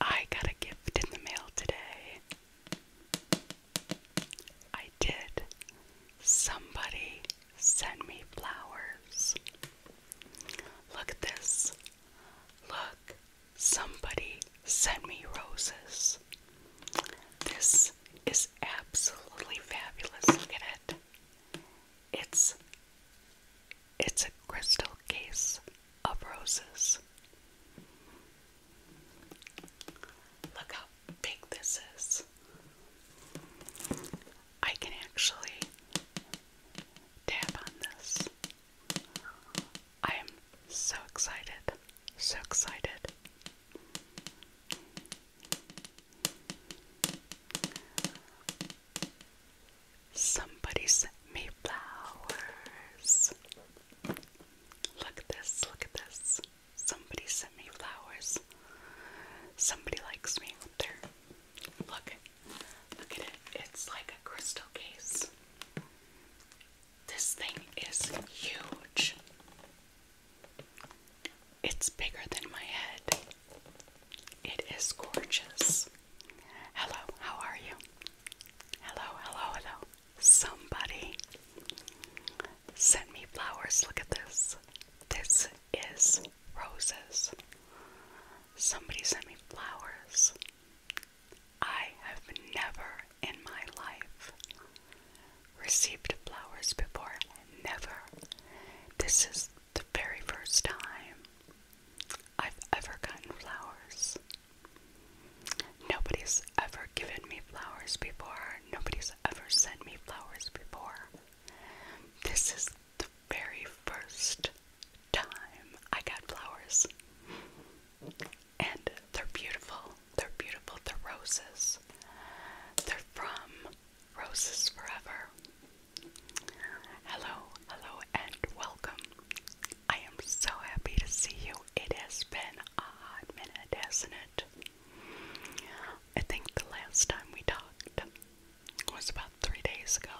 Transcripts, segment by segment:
I got a gift in the mail today. I did. Somebody sent me flowers. Look at this. Look, somebody sent me roses. This is absolutely fabulous. Look at it. It's it's a crystal case of roses. Look how big this is. I can actually tap on this. I am so excited, so excited. Somebody sent me flowers. Look at this, look at this. Somebody sent me flowers. Somebody likes me up there. Look, look at it. It's like a crystal case. This thing is huge. It's bigger than my head. It is gorgeous. Hello, how are you? Hello, hello, hello. Somebody sent me flowers. Look at this. This is roses. Somebody sent me flowers. I have never in my life received flowers before. Never. This is the very first time I've ever gotten flowers. Nobody's ever given me flowers before. Nobody's ever sent me flowers before. This is the very first time I got flowers. And they're beautiful. They're beautiful. They're roses. They're from Roses Forever. Hello, hello, and welcome. I am so happy to see you. It has been a hot minute, hasn't it? I think the last time we talked was about three days ago,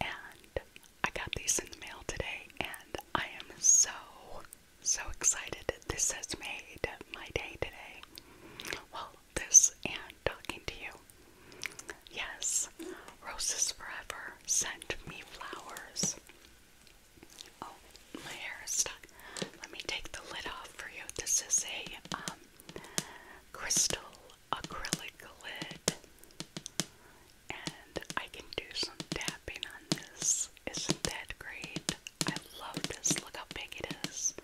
and I got these in the mail today, and I am so, so excited. This has made my day today. Well, this and talking to you. Yes, Roses Forever sent me flowers. Oh, my hair is stuck. Let me take the lid off for you. This is a um, crystal acrylic lid, and I can do some tapping on this. Isn't that great? I love this. Look how big it is.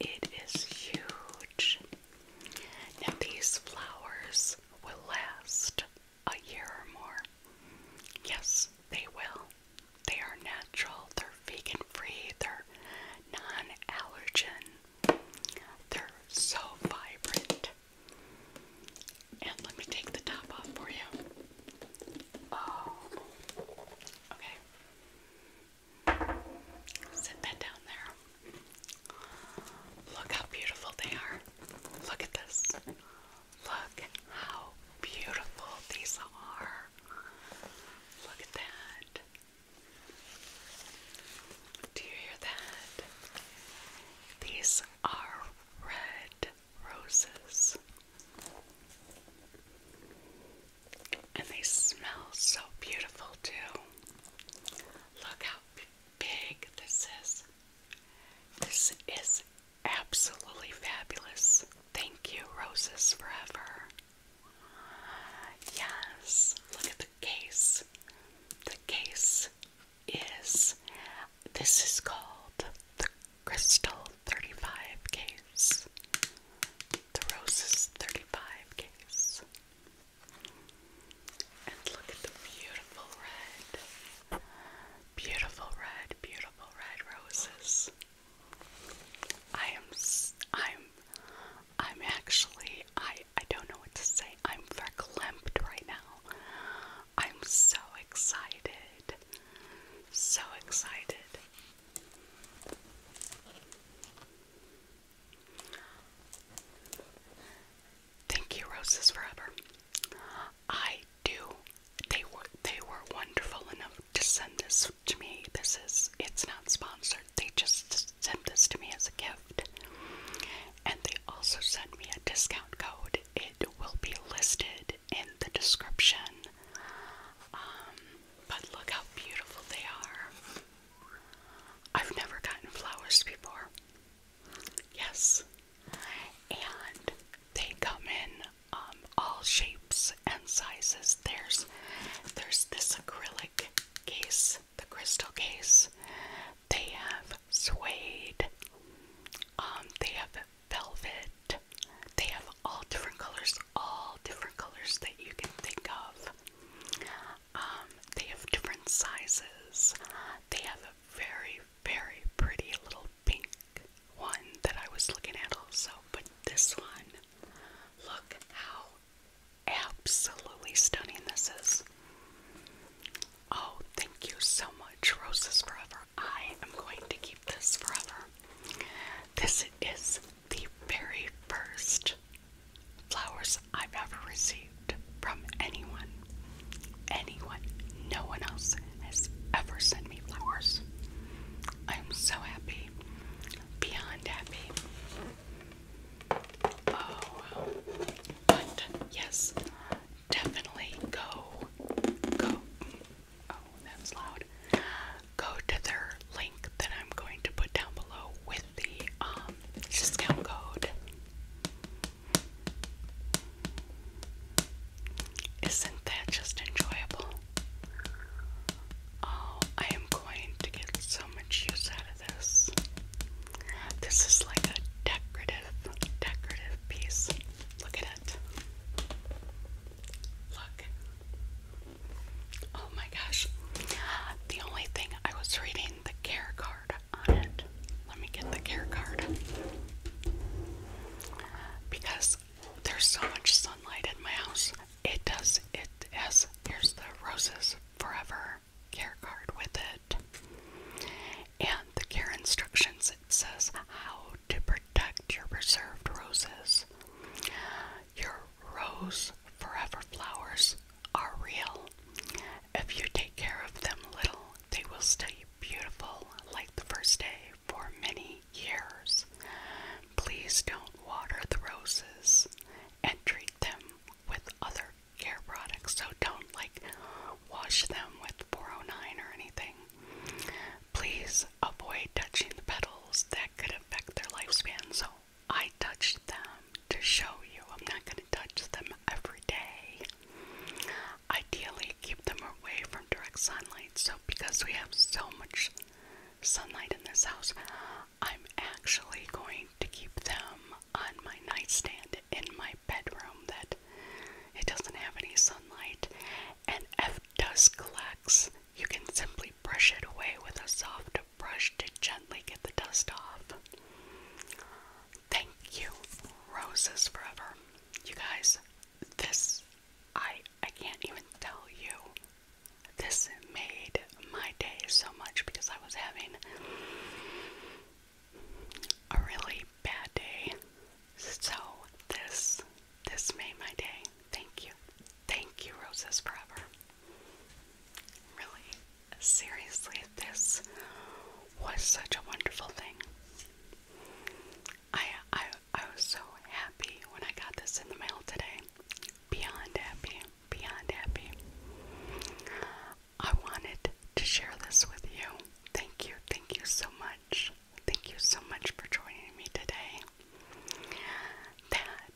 It is huge. Now, these flowers will last a year or more. Yes, they will. They are natural, they're vegan free, they're non allergen, they're so vibrant. And let me take the top off for you. Oh, okay. Sit that down there. Look how beautiful they are. Look at this. Look how beautiful these are. Look at that. Do you hear that? These are red roses. And they smell so beautiful too. Look how big this is. This is absolutely fabulous. Thank you, Roses Forever. Yes, look at the case. The case is this is called the Crystal 35 case the Roses 35 case. And look at the beautiful red, beautiful red, beautiful red roses. I am, I'm, I'm actually, I, I don't know what to say. I'm verklempt right now. I'm so excited, so excited. Thank you, Roses Forever. I do. They were they were wonderful enough to send this to me. This is it's not sponsored. They just sent this to me as a gift. And they also sent me a discount code. It will be listed in the description. Um, but look how beautiful they are. I've never gotten flowers before. Yes. And they come in um, all shapes and sizes. There's there's this acrylic case, the crystal case. They have suede. Um, they have velvet. They have all different colors, all different colors that you can think of. Um, they have different sizes. They have a very, very pretty little pink one that I was looking at also, but this one, look how absolutely stunning this is. Oh, thank you so much, Roses Forever. I am going to keep this forever. This is the very first flowers I've ever received from anyone. Anyone. No one else has ever sent me flowers. I'm so happy. Beyond happy. Oh, but yes, definitely go. Go. Oh, that was loud go to their link that I'm going to put down below with the um, discount code. Isn't that just enjoyable? Oh, I am going to get so much use out of this. This is like a decorative, decorative piece. Look at it. Look. Oh my gosh. The only thing I was reading the care card on it. Let me get the care card. Because there's so much sunlight in my house. It does it has here's the roses forever care card with it. And the care instructions it says how to protect your preserved roses. Your rose forever flowers are real. If you take care of them little, they will stay beautiful like the first day for many years. Please don't water the roses and treat them with other care products. So don't like wash them with 409 or anything. Please avoid touching the petals that could affect their lifespan. So I touch them to show you. I'm not going to touch them every day. Ideally, keep them away from direct sunlight. So, because we have so much sunlight in this house, I'm actually going to keep them on my nightstand in my bedroom that it doesn't have any sunlight. And F does collects you can simply brush it away with a soft brush to gently get the dust off. Thank you, Roses Forever. You guys, this, I, I can't even tell you. This made my day so much because I was having a really bad day. So this this made my day. Thank you. Thank you, Roses Forever. Really, seriously, this was such a wonderful thing. I I I was so happy when I got this in the mail today. Beyond happy, beyond happy. I wanted to share this with you. Thank you, thank you so much. Thank you so much for joining me today. That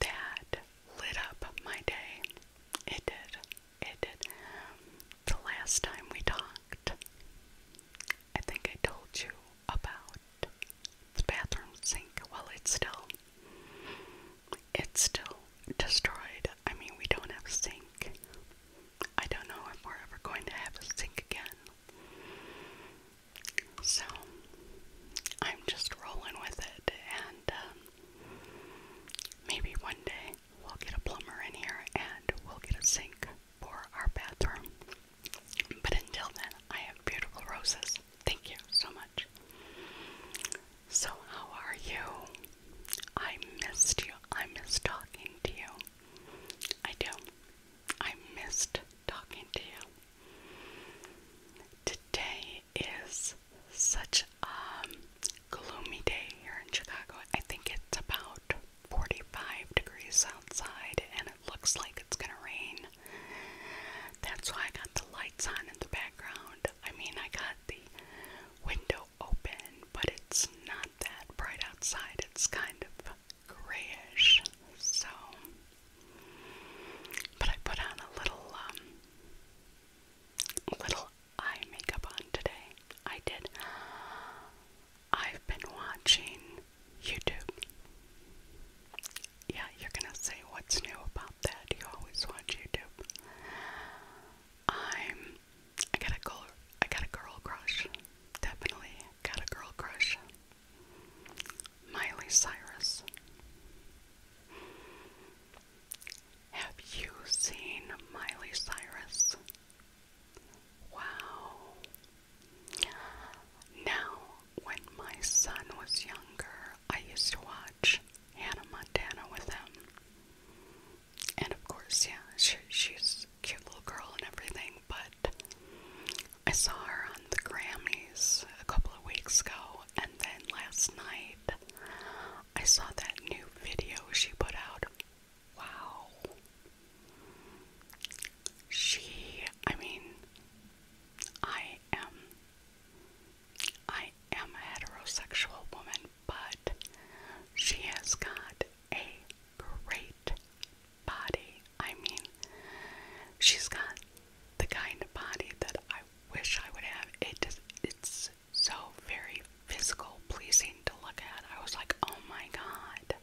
that lit up my day. It did. It did. The last time we talked, I think I told you about the bathroom sink. Well, it's still, it's still destroyed. I mean, we don't have a sink. I don't know if we're ever going to have a sink again. So I'm just rolling with it, and um, maybe one day we'll get a plumber in here and we'll get a sink for our bathroom. But until then, I have beautiful roses. Thank you so much. So, how are you? I missed you. I miss talking to you. I do. I missed talking to you. Today is such a gloomy day here in Chicago. I think it's about 45 degrees outside and it looks like it's going to rain. That's why I got the lights on in the background. I mean, I got the window open, but it's not that bright outside. It's kind of grayish. So but I put on a little, um, little eye makeup on today. I did. I've been watching YouTube. Yeah, you're gonna say what's new about that. You always watch YouTube. I'm. I got a girl. I got a girl crush. Definitely got a girl crush. Miley Cyrus. Have you seen Miley Cyrus? Wow. Now, when my son was younger, I used to watch Hannah Montana with him. And of course, yeah, she, she's cute little girl and everything, but I saw her on the Grammys a couple of weeks ago, and then last night I saw that new video she put out. Wow. She, I mean, I am, I am a heterosexual woman, but she has got a great body. I mean, she's got the kind of body that I wish I would have. It just, it's so very physical, pleasing to look at. I was like, oh my god.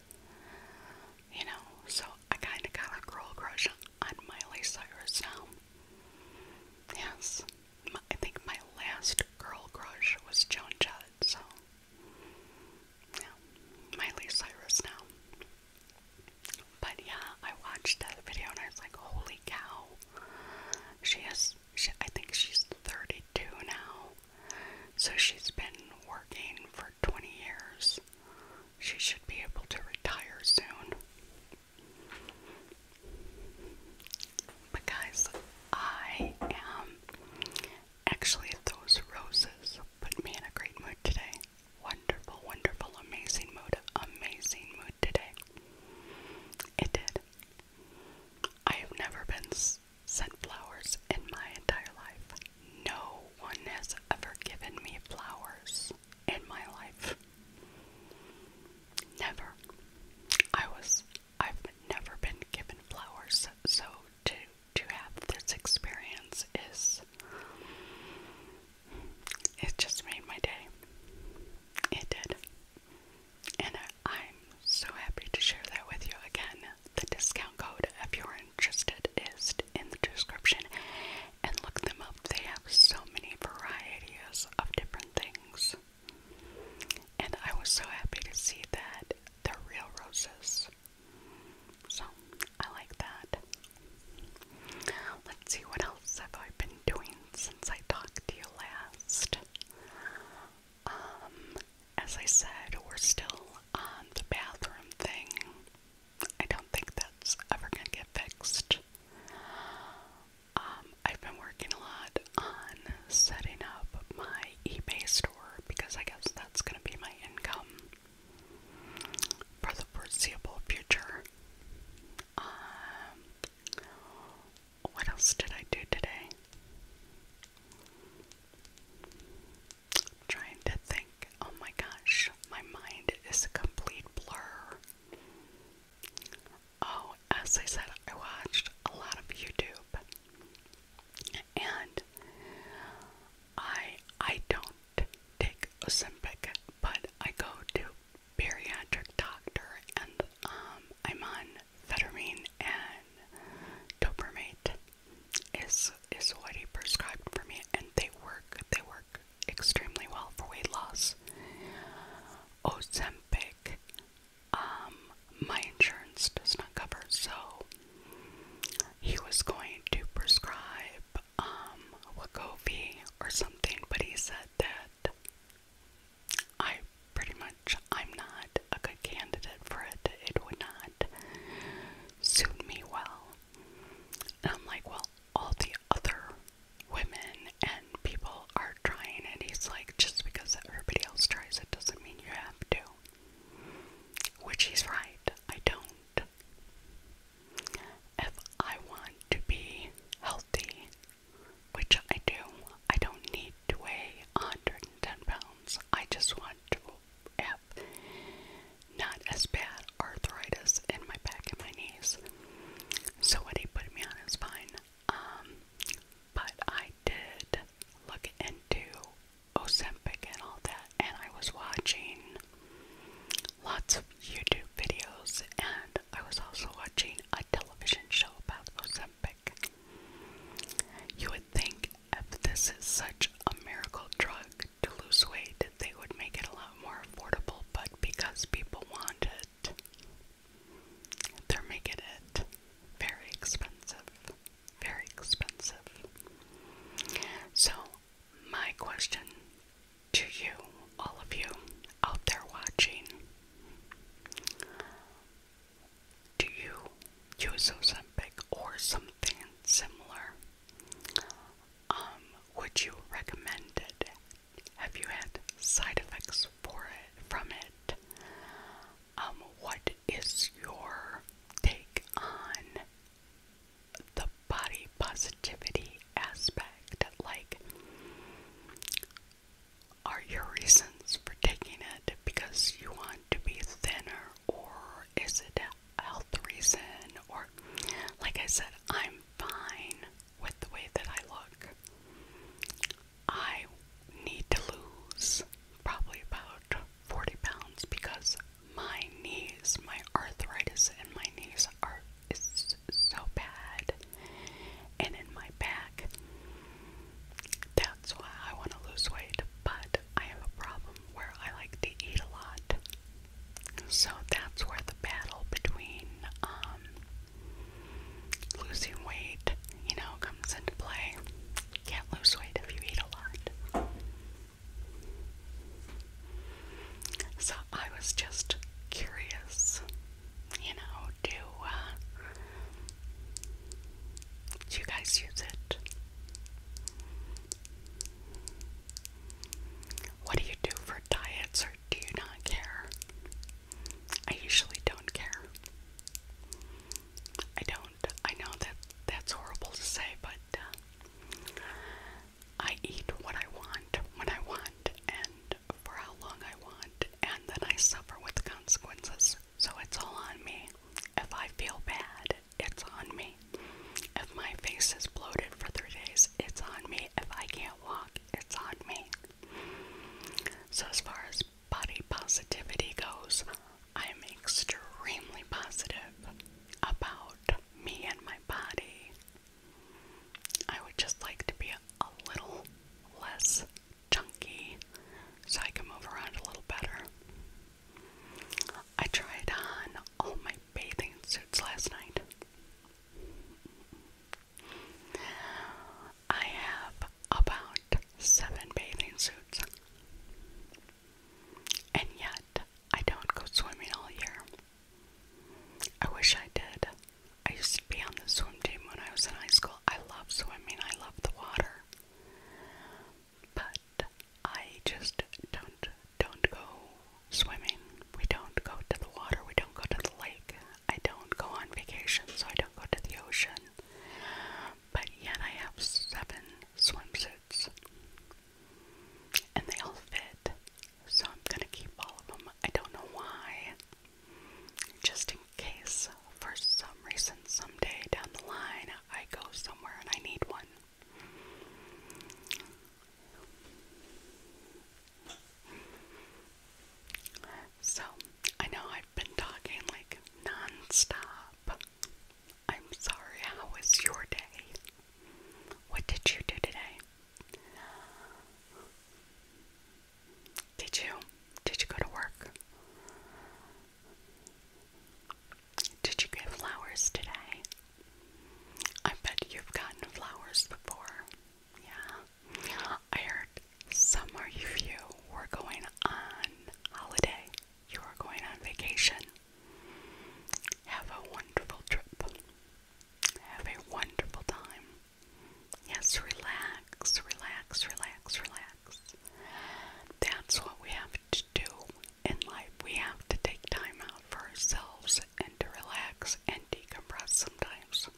You know, so I kind of got a girl crush on Miley Cyrus now. Yes, my, I think my last girl crush was Joan Jett, so. Yeah, Miley Cyrus now. But yeah, I watched that video and I was like, holy cow. She has, she, I think she's 32 now. So she's been working for 20 years. She should be able to retire soon. But guys, I am. Actually, those roses put me in a great mood today wonderful, wonderful, amazing mood, amazing mood today. It did. I have never been sent flowers in my entire life. No one has ever given me flowers in my life. Never. I was I've never been given flowers, so to to have this experience is it just made my day. It did. And I'm so happy to share that with you again. The discount code, if you're interested, is in the description. And look them up. They have so many varieties of different things. And I was so happy to see that they're real roses. So I like that. Let's see what else have I been doing since I talked to you last. Um, as I said, we're still on the bathroom thing. I don't think that's ever gonna get fixed. Um, I've been working a lot on setting up my eBay store because I guess that's gonna be my income for the foreseeable future. Um, what else did I do today? am trying to think. Oh my gosh, my mind is a complete blur. Oh, as I said, I watched a lot of YouTube. And I I don't take Ozempic, but I go to bariatric doctor and um I'm on Phetamine and Dopamate is is what he prescribed for me and they work they work extremely well for weight loss. Ozempic um my insurance does not cover so he was going to prescribe up um Wagovi or something, but he said that I pretty much I'm not a good candidate for it. It would not suit me well. And I'm like, well, all the other women and people are trying and he's like, just because everybody else tries it doesn't mean you have to. Which he's right. I don't. If I want to be healthy, which I do, I don't need to weigh 110 pounds. I just want to have not as bad arthritis in my back and my knees. So what he put me on is fine. Um, but I did look into Ozempic and all that and I was watching lots of YouTube videos, and I was also watching a television show about Ozempic. You would think if this is such a miracle drug to lose weight, they would make it a lot more affordable, but because people want it, they're making it very expensive. Very expensive. So my question to you, all of you out there watching do you use Ozempic or something similar? Um, would you recommend it? Have you had side effects from it? Um, what is your take on the body positivity aspect. Like, are your reasons for taking it because you want to be thinner, or is it a health reason? Or, like I said, I'm fine with the way that I look. I need to lose probably about 40 pounds because my knees, my arthritis and my knees are is so bad, and in my back. That's why I want to lose weight, but I have a problem where I like to eat a lot. So that's where the battle between um, losing weight, you know, comes into play. Can't lose weight if you eat a lot. So I was just curious, you know, do, uh, do you guys use it? What do you do for diets or do you not care? I usually don't care. I don't. I know that that's horrible to say, but uh, I eat what I want when I want and for how long I want, and then I suffer with the consequences. So it's all on me. If I feel bad, it's on me. If my face is bloated for three days, it's on me. If I can't walk, it's on me. So, as far as body positivity goes, I'm extremely positive about me and my body. I would just like to be a, a little less chunky so I can move around a little better. I tried on all my bathing suits last night. I have about seven bathing suits. And yet, I don't go swimming all year. I wish I did. I used to be on the swim team when I was in high school. I love swimming, I love the water. But I just don't don't go swimming. We don't go to the water, we don't go to the lake. I don't go on vacation, so I don't go to the ocean. But yet I have seven swimsuits. And they all fit. So I'm gonna keep all of them. I don't know why. Just in case, for some reason, someday down the line, I go somewhere and I need one. So, I know I've been talking like non I'm sorry, how was your day? What did you do today? Did you? Did you go to work? Did you get flowers today? I bet you've gotten flowers before. Yeah. I heard some of you were going on holiday you are going on vacation. Have a wonderful trip. Have a wonderful time. Yes, relax, relax, relax, relax. That's what we have to do in life. We have to take time out for ourselves and to relax and decompress sometimes.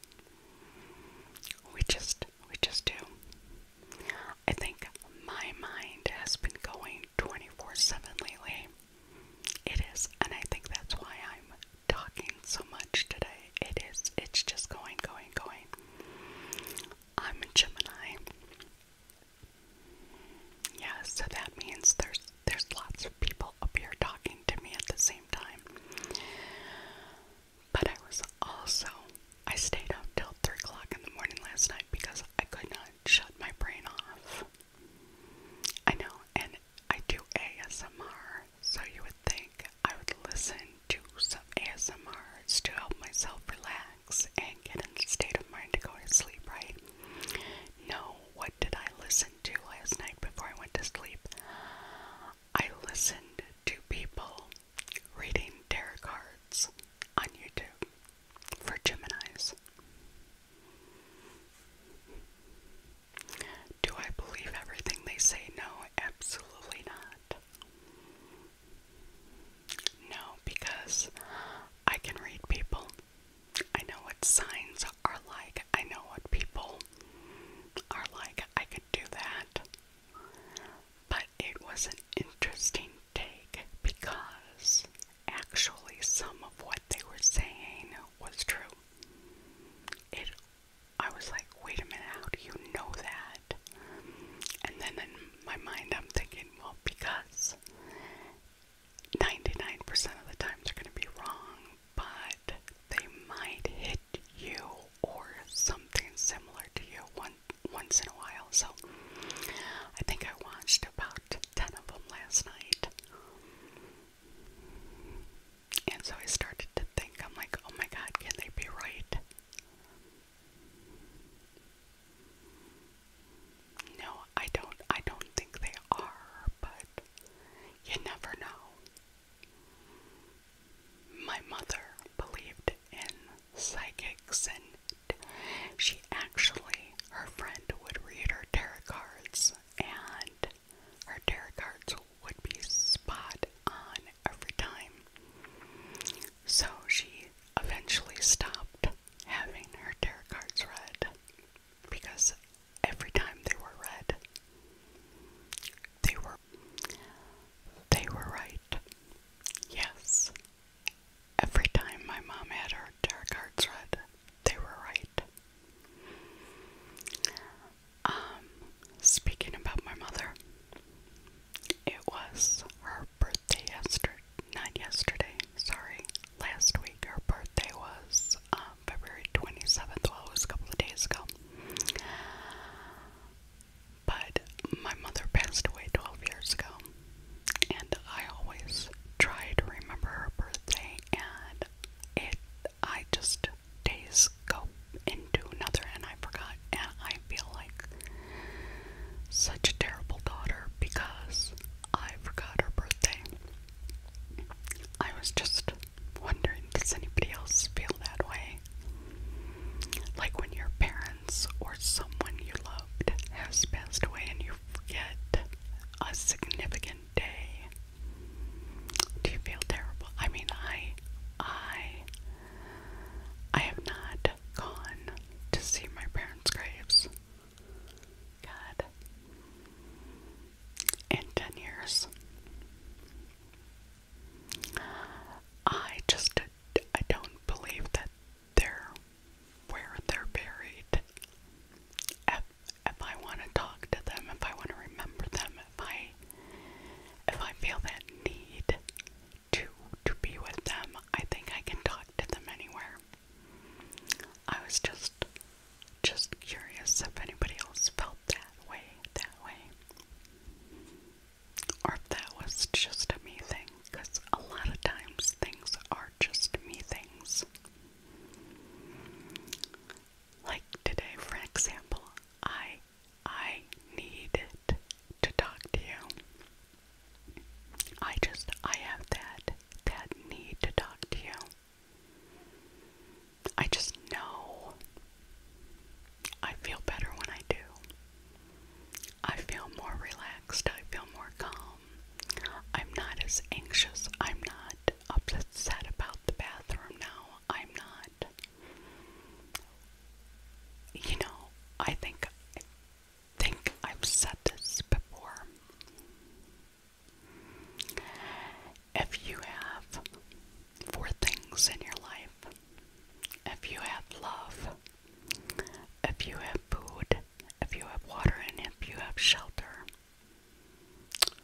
We just we just do. I think my mind has been going 24/7 lately. It is, and I think that's why I'm talking so much today. It is, it's just going, going, going. I'm a Gemini. Yeah, so that means there's there's lots of people up here talking to me at the same time. But I was also I stayed up till three o'clock in the morning last night because I could not shut my brain off. I know, and I do ASMR, so you would think I would listen to some ASMRs to help myself relax and get in the state of mind to go to sleep, right? No, what did I listen to last night before I went to sleep? I listened to people reading tarot cards on YouTube for Geminis. Do I believe everything they say? No, absolutely not. No, because I can read people. I know what signs are like. I know what people are like. I could do that. But it was an interesting take because actually some of what they were saying was true. It I was like, wait a minute, how do you know that? And then in my mind I'm thinking, well, because 99% of the time are going to be wrong, but they might hit you or something similar to you one, once in a while. So I think I watched about ten of them last night. And so I started to think, I'm like, oh my god, can they be right? No, I don't I don't think they are, but you never know. My mother believed in psychics and she actually, her friend would read her tarot cards, and her tarot cards would be spot on every time. So she eventually stopped having her tarot cards read because every time they were read, they were they were right. Yes, Every time my mom had her tarot cards read, they were right. Um, speaking about my mother, it was her birthday yesterday, not yesterday, sorry, last week. Her birthday was um, February 27th, well, it was a couple of days ago. But my mother passed away 12 years ago and I always try to remember her birthday and it I just days go into another and I forgot and I feel like such a terrible daughter because I forgot her birthday. I was just wondering, does anybody else feel that way? Like when your parents or someone you loved has passed away and you yet a significant day. Do you feel terrible? I mean, I, I, I have not gone to see my parents' graves. God, in ten years, I just I don't believe that they where they're buried. If, if I want to talk to them, if I want to remember them, if I if I feel that need to to be with them, I think I can talk to them anywhere. I was just just curious if anybody else felt that way that way. Or if that was just a me thing because a lot of times things are just me things. Like today, for example, I I needed to talk to you. I just I have that that need to talk to you. I just know I feel better when I do. I feel more relaxed. I feel more calm. I'm not as anxious. I'm not upset about the bathroom now. I'm not. You know, I think I think I've said this before. If you have four things in your life, if you have love, if you have food, if you have water and if you have shelter.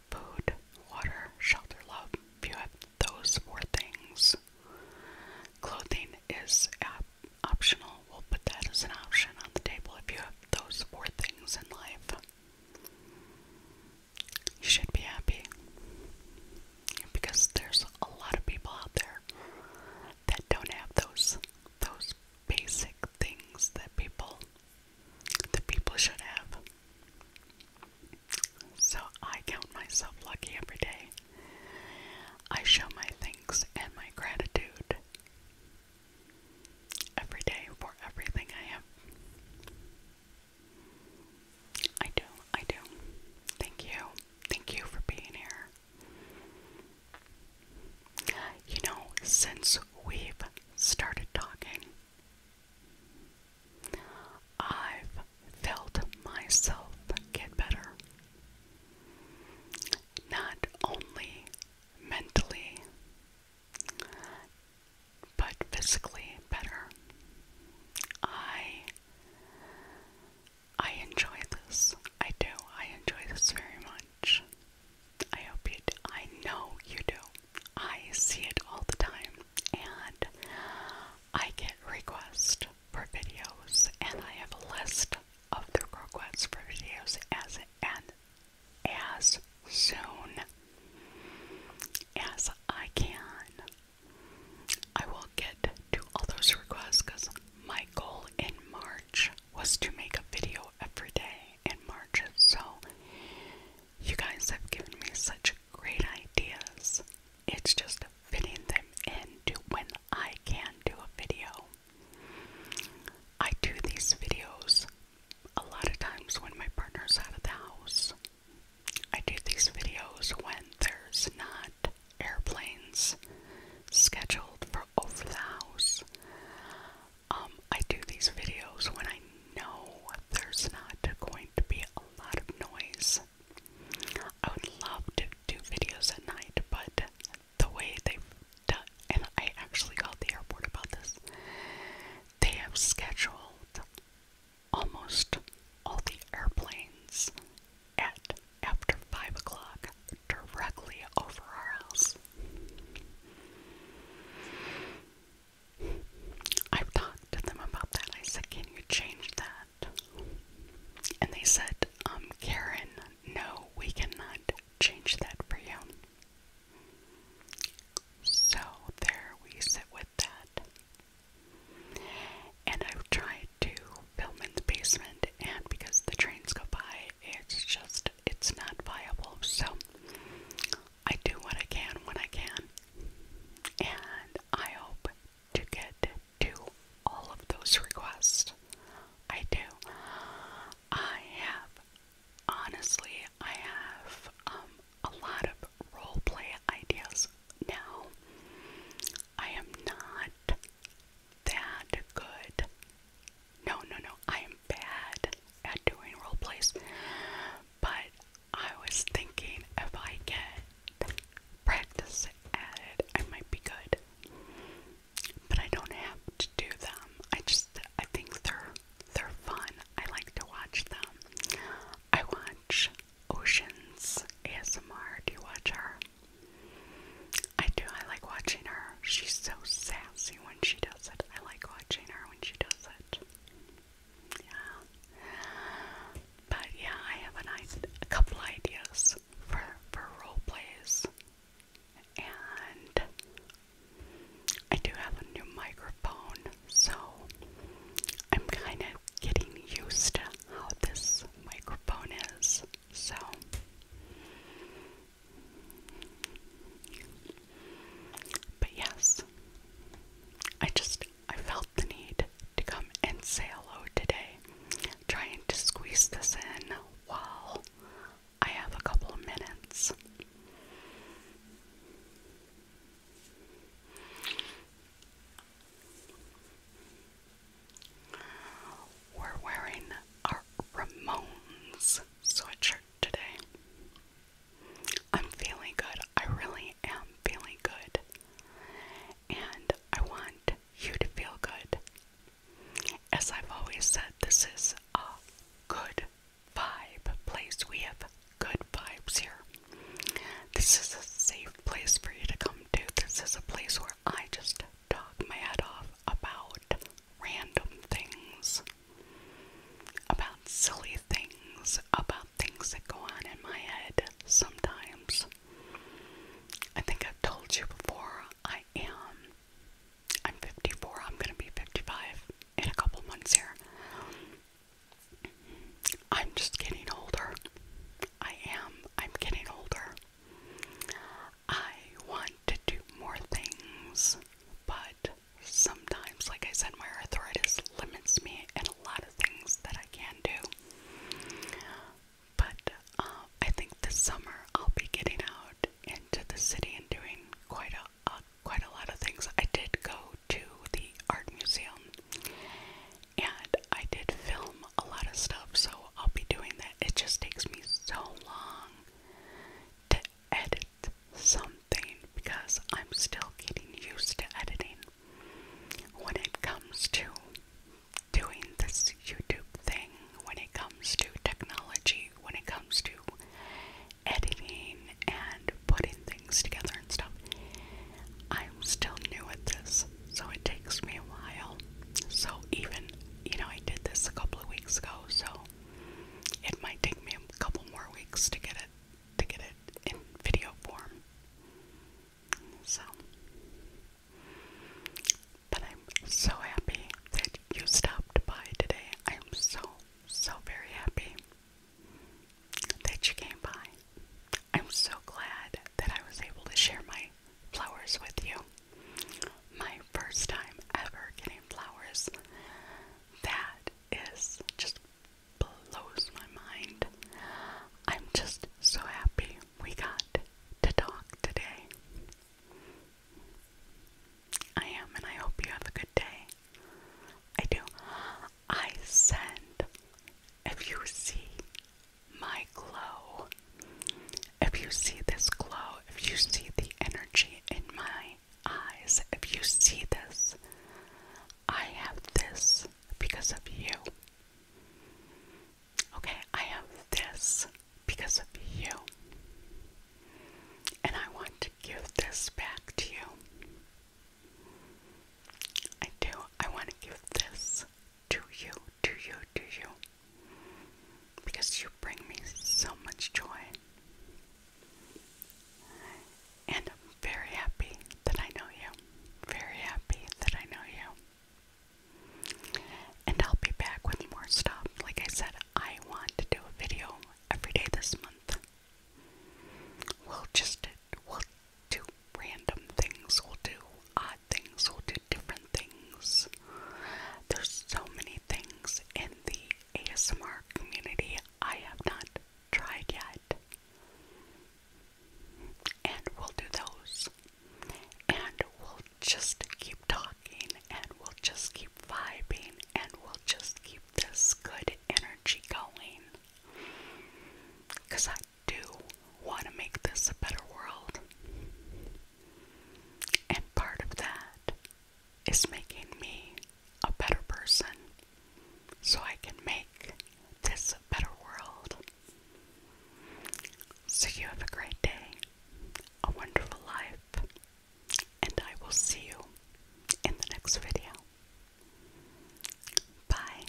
Food, water, shelter, love. If you have those four things, clothing is optional. We'll put that as an option on the table if you have those four things in life. You should be happy because there's a lot of people out there that don't have those those basic things that people that people should have. So I count myself lucky every day. I show my thanks and my gratitude every day for everything I have. I do, I do. Thank you. Thank you for being here. You know, since we've started talking, I've felt myself get better. Not only mentally, but physically better. I I enjoy this. I do. I enjoy this very much. I hope you I know you do. I see it all the time, and I get requests for videos, and I have a list of the requests for videos as and as soon as I can. I will get to all those requests because my goal in March was to make a video every day in March, so you guys have given me such great ideas. It's just fitting them into when I can do a video. I do these videos a lot of times when my partner's out of the house. I do these videos when there's not airplanes scheduled for of Laos. Um, I do these videos when I know there's not going to be a lot of noise. I would love to do videos at night, but the way they've done, and I actually called the airport about this, they have scheduled almost all the airplanes at after five o'clock directly over our house. I've talked to them about that. I said, Can you change that? And they said, um, Karen, no, we cannot change that for you. So there we sit with that. And I've tried to film in the basement, and because the trains go by, it's just it's not viable. So I do what I can when I can, and I hope to get to all of those requests. I do. I have honestly, I have um, a lot of role play ideas now. I am not that good. No, no, no, I am bad at doing role plays. But I was thinking if I get practice at it, I might be good. But I don't have to do them. I just I think they're they're fun. I like to watch them. I watch Oceans ASMR. Do you watch her? I do. I like watching her. She's so sassy when she does it. I like watching her when she does it. Yeah. But yeah, I have a couple ideas for for role plays, and I do have a new microphone, so I'm kind of getting used to how this microphone is. So but yes, I just I felt the need to come and say hello today, trying to squeeze this in while I have a couple of minutes. We're wearing our Ramones sweatshirt today. I'm feeling good. I really am feeling good. And I want you to feel good. As I've always said, this is a good vibe place. We have good vibes here. This is a safe place for you to come to. This is a place where I just talk my head off about random things, about silly things, about things that go on in my head sometimes. I think I've told you before, I am. I'm 54, I'm gonna be 55 in a couple months here. I'm just getting older. I am. I'm getting older. I want to do more things, but sometimes, like I said, my arthritis limits me in a lot of things that I can do. But uh, I think this summer I'll be getting out into the city and doing quite a uh, quite a lot of things. I did go to the art museum, and I did film a lot of stuff, so I'll be doing that. It just takes me so long to edit something because I'm still getting used to editing when it comes to doing this YouTube thing, when it comes to technology, when it comes to editing and putting things together and stuff. I'm still new at this so it takes me a while. So, even, you know, I did this a couple of weeks ago, so it might take me a couple more weeks to get it, to get it in video form. So, but I'm so happy that you stopped by today. I am so, so very happy that you came by. I'm so glad that I was able to share my flowers with you. My first time ever getting flowers. That is just blows my mind. I'm just so happy we got to talk today. I am, and I hope you have a good day. I do. I send, if you see my glow. If you see this glow, if you see the energy in my eyes, if you see this, I have this because of you. Okay, I have this because of you. And I want to give this back to you. I do. I want to give this to you, to you, to you. Because you bring me so much joy. And I'm very happy that I know you. Very happy that I know you. And I'll be back with more stuff. Like I said, I want to do a video every day this month. We'll just, we'll do random things. We'll do odd things, we'll do different things. There's so many things in the ASMR community I have not tried yet. And we'll do those. And we'll just keep talking, and we'll just keep vibing, and we'll just keep this good energy going. Because I do want to make this a better world. And part of that is making me a better person so I can make this a better world. So you have a great day, a wonderful life, and I will see you in the next video. Bye.